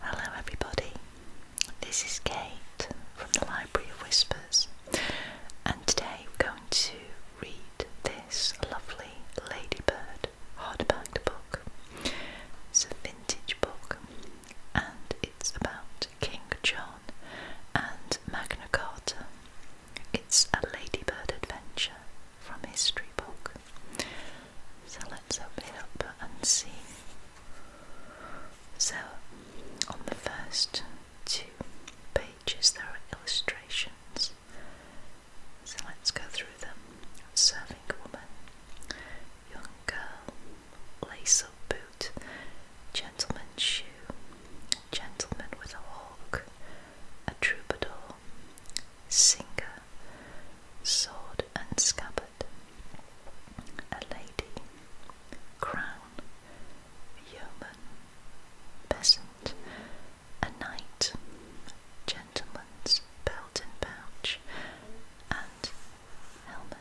Hello, everybody. This is Kate from the Library of Whispers, and today we're going to read this lovely Ladybird hardback book. It's a vintage book, and it's about King John, and Magna Carta. It's a ladybird adventure from History Book. So let's open it up and see. So, on the first two pages, there are illustrations. So let's go through them. Serving woman, young girl, lace up boot, gentleman's shoe, gentleman with a hawk, a troubadour, singer, sword and scabbard, a lady, crown, yeoman, peasant, a knight, gentleman's belt and pouch, and helmet.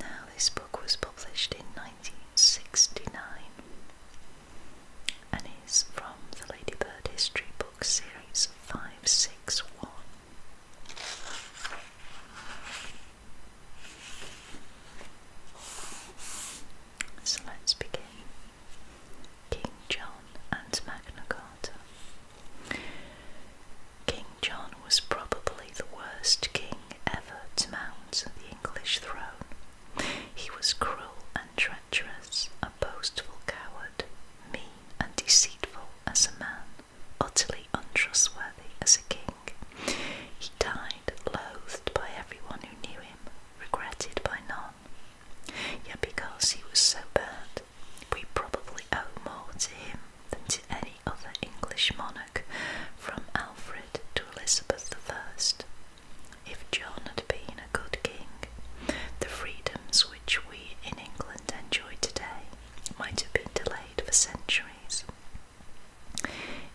Now, this book was published in 1969 and is from the Ladybird History Book Series 561. So let's begin. King John and Magna Carta. King John was probably the worst king ever to mount the English throne. He was cruel and treacherous, a boastful coward, mean and deceitful as a man, utterly untrustworthy as a king. He died loathed by everyone who knew him, regretted by none. Yet because he was so bad, we probably owe more to him than to any other English monarch from Alfred to Elizabeth I. If John had been a good king, the freedoms which we in England enjoy today might have been delayed for centuries.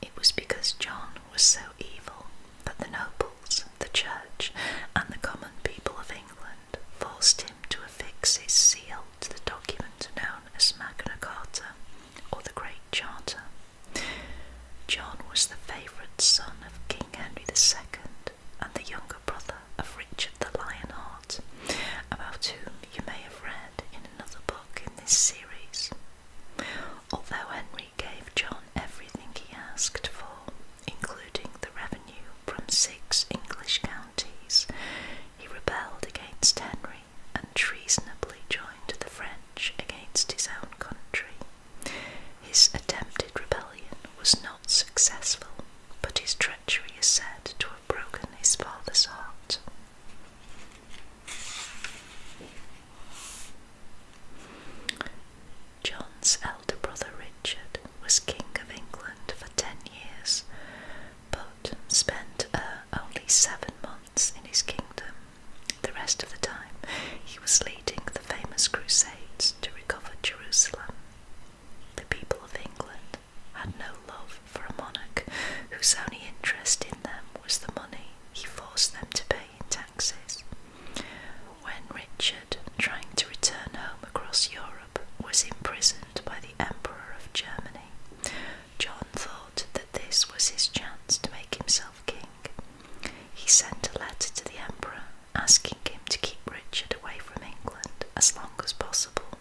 It was because John was so evil that the nobles, the church, and the common people of England forced him to affix his seal to the document known as Magna Carta, or the Great Charter. John was the favourite son of King Henry II and the younger brother of Richard the Lionheart, about whom you may have read in another book in this series. Although Henry he gave John everything he asked for, including the revenue from six English counties. He rebelled against Henry and treasonably joined the French against his own country. His attempted rebellion was not successful, but his treachery is said to have broken his father's heart. John's elder brother Richard was King of England for ten years, but spent uh, only seven months in his kingdom. The rest of the time, he was leading the famous Crusades to recover Jerusalem. The people of England had no love for a monarch whose only interest in them was the money he forced them to pay in taxes. When Richard, trying to return home across Europe, was imprisoned by the Emperor of Germany, John thought that this was his chance to make himself king. He sent a letter to the Emperor asking him to keep Richard away from England as long as possible.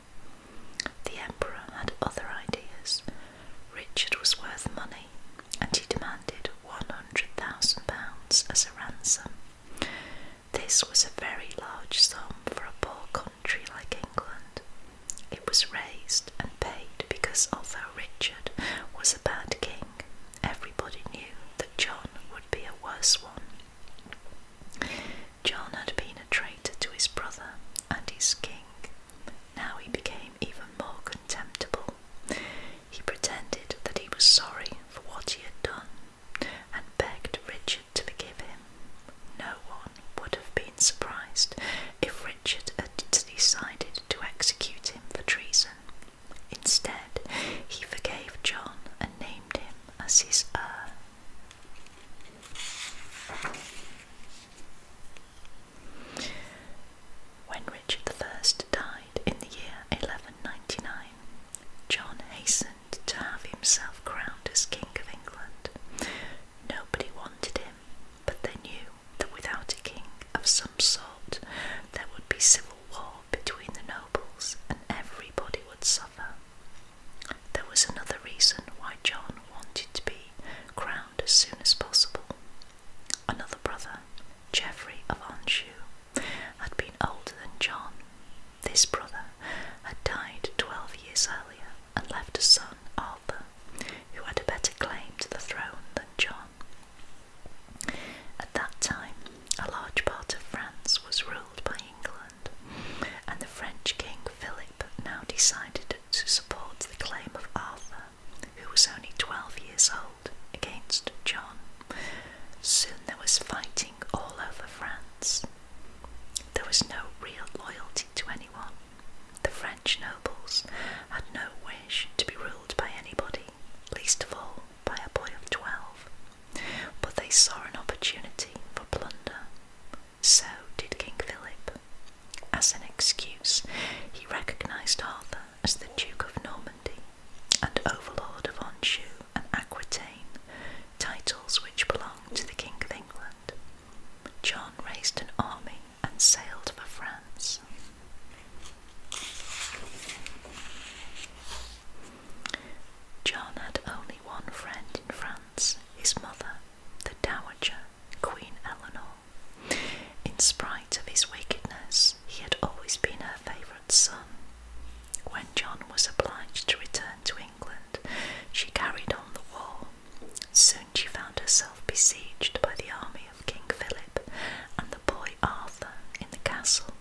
The Emperor had other ideas. Richard was worth money and he demanded £100,000 as a ransom. This was a very large sum for a poor country like England. It was raised and paid because although Richard was a bad king, everybody knew that John would be a worse one. John had been a traitor to his brother and his king, now he became even more contemptible. He pretended that he was sorry for what he had done and begged Richard to forgive him. No one would have been surprised if Richard had decided to execute him for treason. Instead, he forgave John and named him as his heir. When Richard I died in the year 1199, John hastened to have himself crowned as King of England. Nobody wanted him, but they knew that without a king of some sort, there would be civil war between the nobles and everybody would suffer. There was another reason why John wanted to be crowned as soon as possible. Another brother, Geoffrey of Anjou, had been older than John. This brother had died twelve years earlier and left a son, Arthur, who had a better claim to the throne than John. At that time, a large part of France was ruled by England, and the French King Philip now decided to support the claim of Arthur, who was only 12 years old, against John. Soon there was fighting all over France. There was no real loyalty to anyone. The French nobles had no wish to be ruled by anybody, least of all by a boy of twelve, but they saw an opportunity for plunder. So did King Philip. As an excuse, he recognised Arthur as the Duke of Normandy and Overlord of Anjou and Aquitaine, titles which belonged to the King of England. John raised an army and sailed for France. John had only one friend in France, his mother, the Dowager Queen Eleanor. In spite of his wickedness, he had always been her favourite son. When John was obliged to return to England, she carried on the war. Soon she found herself besieged by the army of King Philip and the boy Arthur in the castle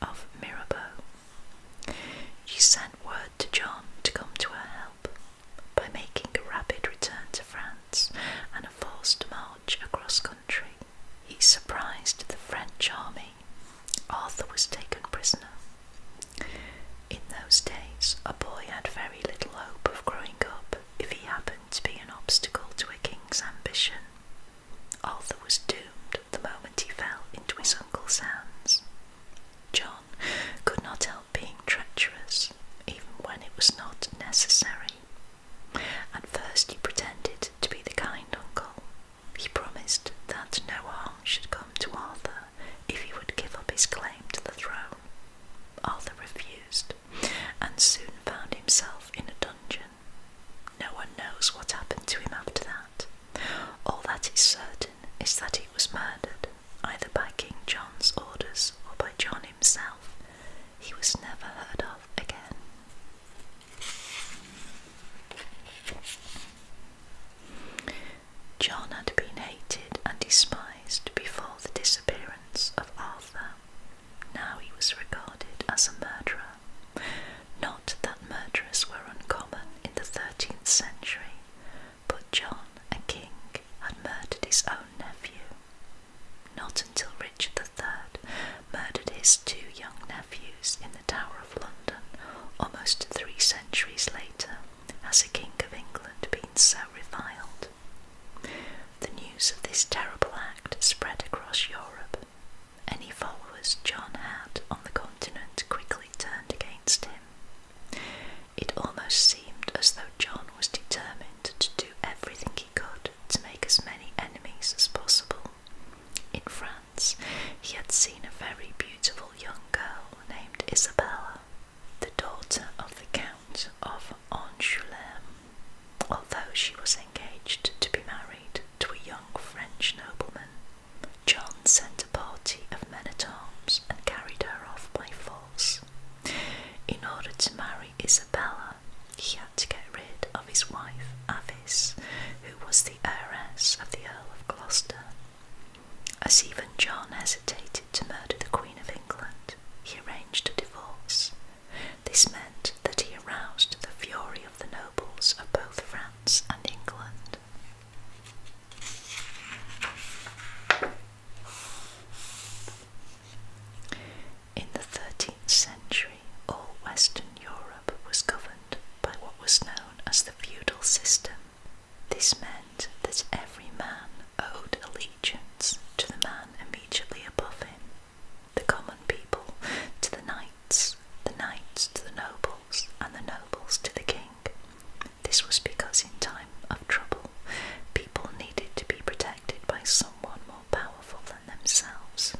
of Mirabeau. She sent word to John to come to her help, by making a rapid return to France and a forced march across country. He surprised the French army. Arthur was taken prisoner. In those days, a boy had very little hope of growing up if he happened to be an obstacle to a king's ambition. Arthur was doomed the moment he fell into his uncle's hands. John could not help being treacherous, even when it was not necessary. At first, he pretended to be the kind uncle. He promised that no harm should come to Arthur if he would give up his claim to the throne. Arthur refused, and soon found himself in a dungeon. No one knows what happened to him after that. All that is certain is that he was murdered, either by King John's orders or by John himself. He was never heard of again. John had been hated and despised before the disappearance of Arthur. Now he was regarded as a murderer. Not that murderers were uncommon in the 13th century, but John, a king, had murdered his own nephew. Not until Richard III murdered his two young nephews in the Tower of London almost three centuries later has a king of England been so reviled. The news of this terrible act spread across Europe. Any followers John had on the continent quickly turned against him, it almost seemed as though John was determined to do everything he could to make as many enemies as possible. In France, he had seen a very beautiful young girl named Isabella, the daughter of the Count of Angoulême, although she was engaged to be married to a young French nobleman John sent a party of men at arms and carried her off by force. In order to marry Isabella, he had to get rid of his wife Avis, who was the heiress of the Earl of Gloucester. As even John hesitated to murder the Queen of England, he arranged a divorce. This meant that he aroused the fury of the nobles of both France and England. In the 13th century, all Western Europe was governed by what was known as the feudal system. This meant that every man owed allegiance to the man immediately above him, the common people to the knights, the knights to the noble, and the nobles to the king. This was because in time of trouble, people needed to be protected by someone more powerful than themselves.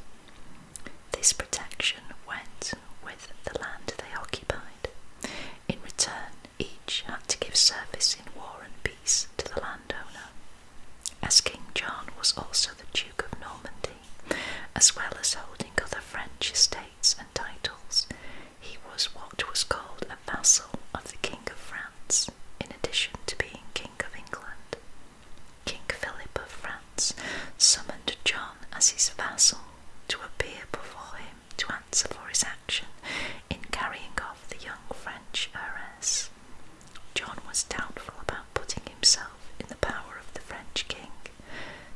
This protection went with the land they occupied. In return, each had to give service in war and peace to the landowner. As King John was also the Duke of Normandy, as well as holding other French estates and titles, he was what was called a vassal of the King of France, in addition to being King of England. King Philip of France summoned John as his vassal to appear before him to answer for his action in carrying off the young French heiress. John was doubtful about putting himself in the power of the French king,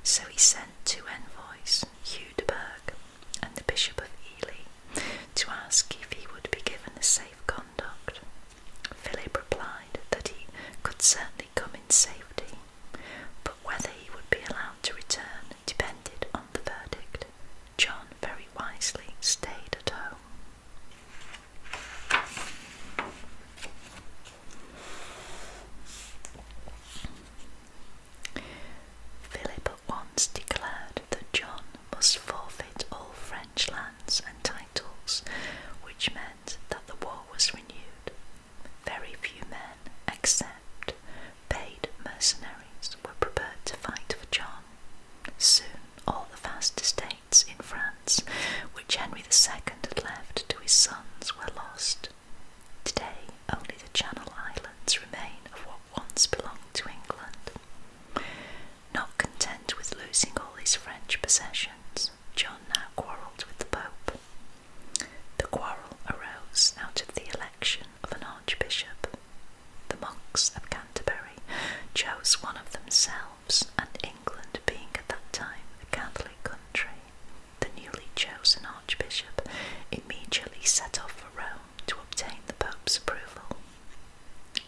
so he sent two envoys, Hugh de Burgh and the Bishop of Ely, to ask if he would be given a safe conduct. Philip replied that he could certainly come in safety, but whether he would be allowed to return depended on the verdict. John very wisely stayed at home. Philip at once declared that John must forfeit all French lands and titles, which meant that the war was renewed. Very few men, except paid mercenaries, were prepared to fight for John. Soon all the vast estates in France which Henry II had left to his sons were lost. Today, only the Channel Islands remain of what once belonged to England. Not content with losing all his French possessions, John now quarrelled with the Pope. The quarrel arose out of the election of an archbishop. The monks of Canterbury chose one of themselves and England being at that time a Catholic country. The newly chosen archbishop immediately set off for Rome to obtain the Pope's approval.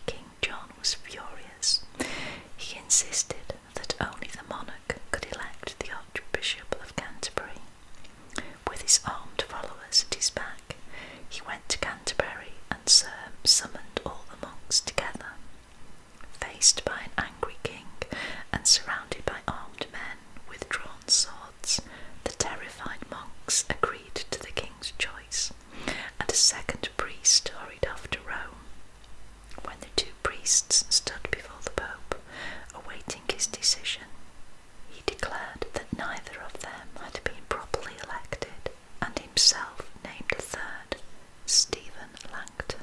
King John was furious. He insisted that only the monarch could elect the Archbishop of Canterbury. With his armed followers at his back, he went to Canterbury and summoned all the monks together. Faced by an angry king and surrounded by armed men with drawn swords, the terrified monks agreed to the king's choice, and a second priest hurried off to Rome. When the two priests stood before the Pope, awaiting his decision, he declared that neither of them had been properly elected and himself named a third Stephen Langton.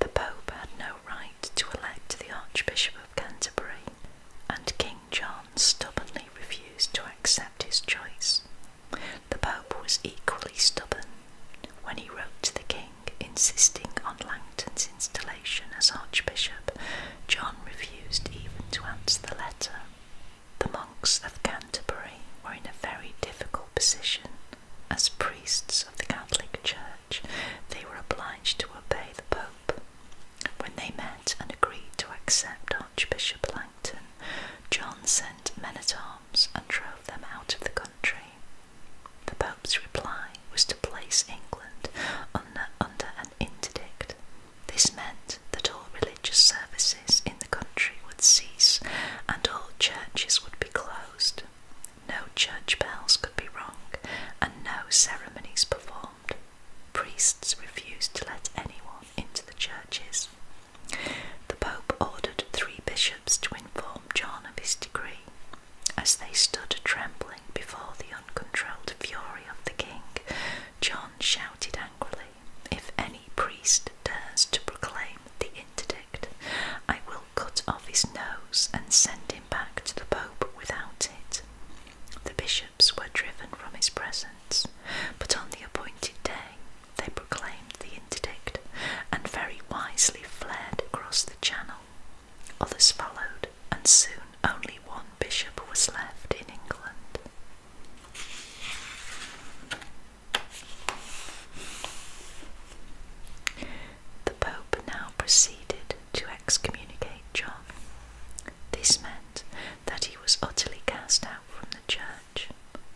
The Pope had no right to elect the Archbishop of Canterbury, and King John stubbornly refused to accept his choice. The Pope was equally stubborn when he wrote to the King insisting on Langton's installation as archbishop, John refused even to answer the letter. The monks of Canterbury were in a very difficult position. As priests of the Catholic Church, they were obliged to obey the Pope. When they met and agreed to accept Archbishop Langton, John sent men at arms and drove them out of the the Pope's reply was to place England under, under an interdict. This meant that all religious services in the country would cease and all churches would be closed. No church bells could be rung and no ceremonies performed. Priests refused to let anyone into the churches. The Pope ordered three bishops to inform John of his decree, as they stood trembling before the uncontrolled fury of the king, John shouted angrily, If any priest dares to proclaim the interdict, I will cut off his nose and send him back to the Pope without it. The bishops were driven from his presence, but on the appointed day they proclaimed the interdict and very wisely fled across the channel Others followed, and soon only one bishop was left in England. The Pope now proceeded to excommunicate John. This meant that he was utterly cast out from the church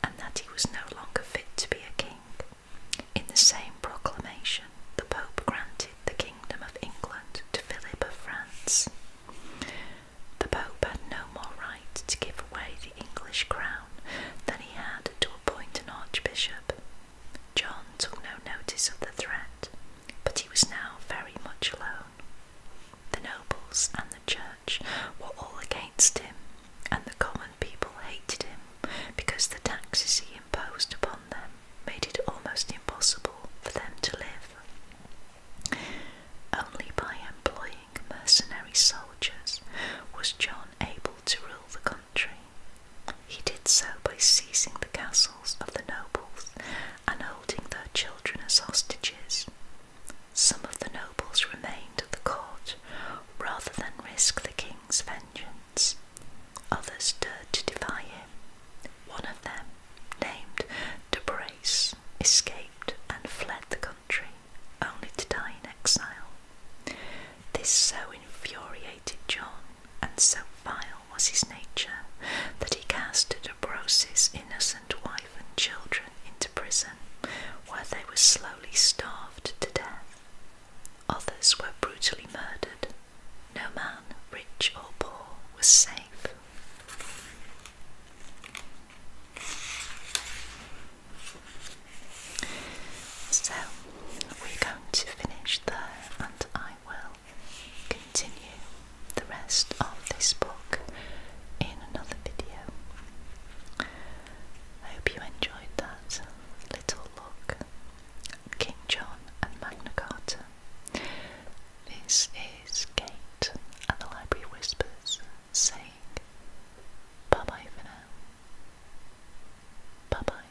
and that he was no longer fit to be a king. In the same proclamation, the Pope granted the Kingdom of England to Philip of France. The Pope had no more right to give away the English crown than he had to appoint an archbishop. John took no notice of the threat, but he was now very much alone. The nobles and the church were all against him, and the common people hated him because the taxes he imposed upon them made it almost impossible for them to live. Only by employing mercenary soldiers was John able to rule the country. He did so by seizing the castles of the nobles and holding their children as hostages. Some of the nobles remained at the court rather than risk the king king's vengeance. Others dared to defy him. One of them, named De Brace, escaped and fled the country, only to die in exile. This so infuriated John, and so vile was his nature, that he cast De Brace's innocent wife and children into prison, where they were slowly starved to death. Others were brutally murdered. No man, rich or poor, was safe. So, we're going to finish there, and I will continue the rest of this book in another video. I hope you enjoyed that little look King John and Magna Carta. This is Kate at the Library Whispers saying bye bye for now. Bye bye.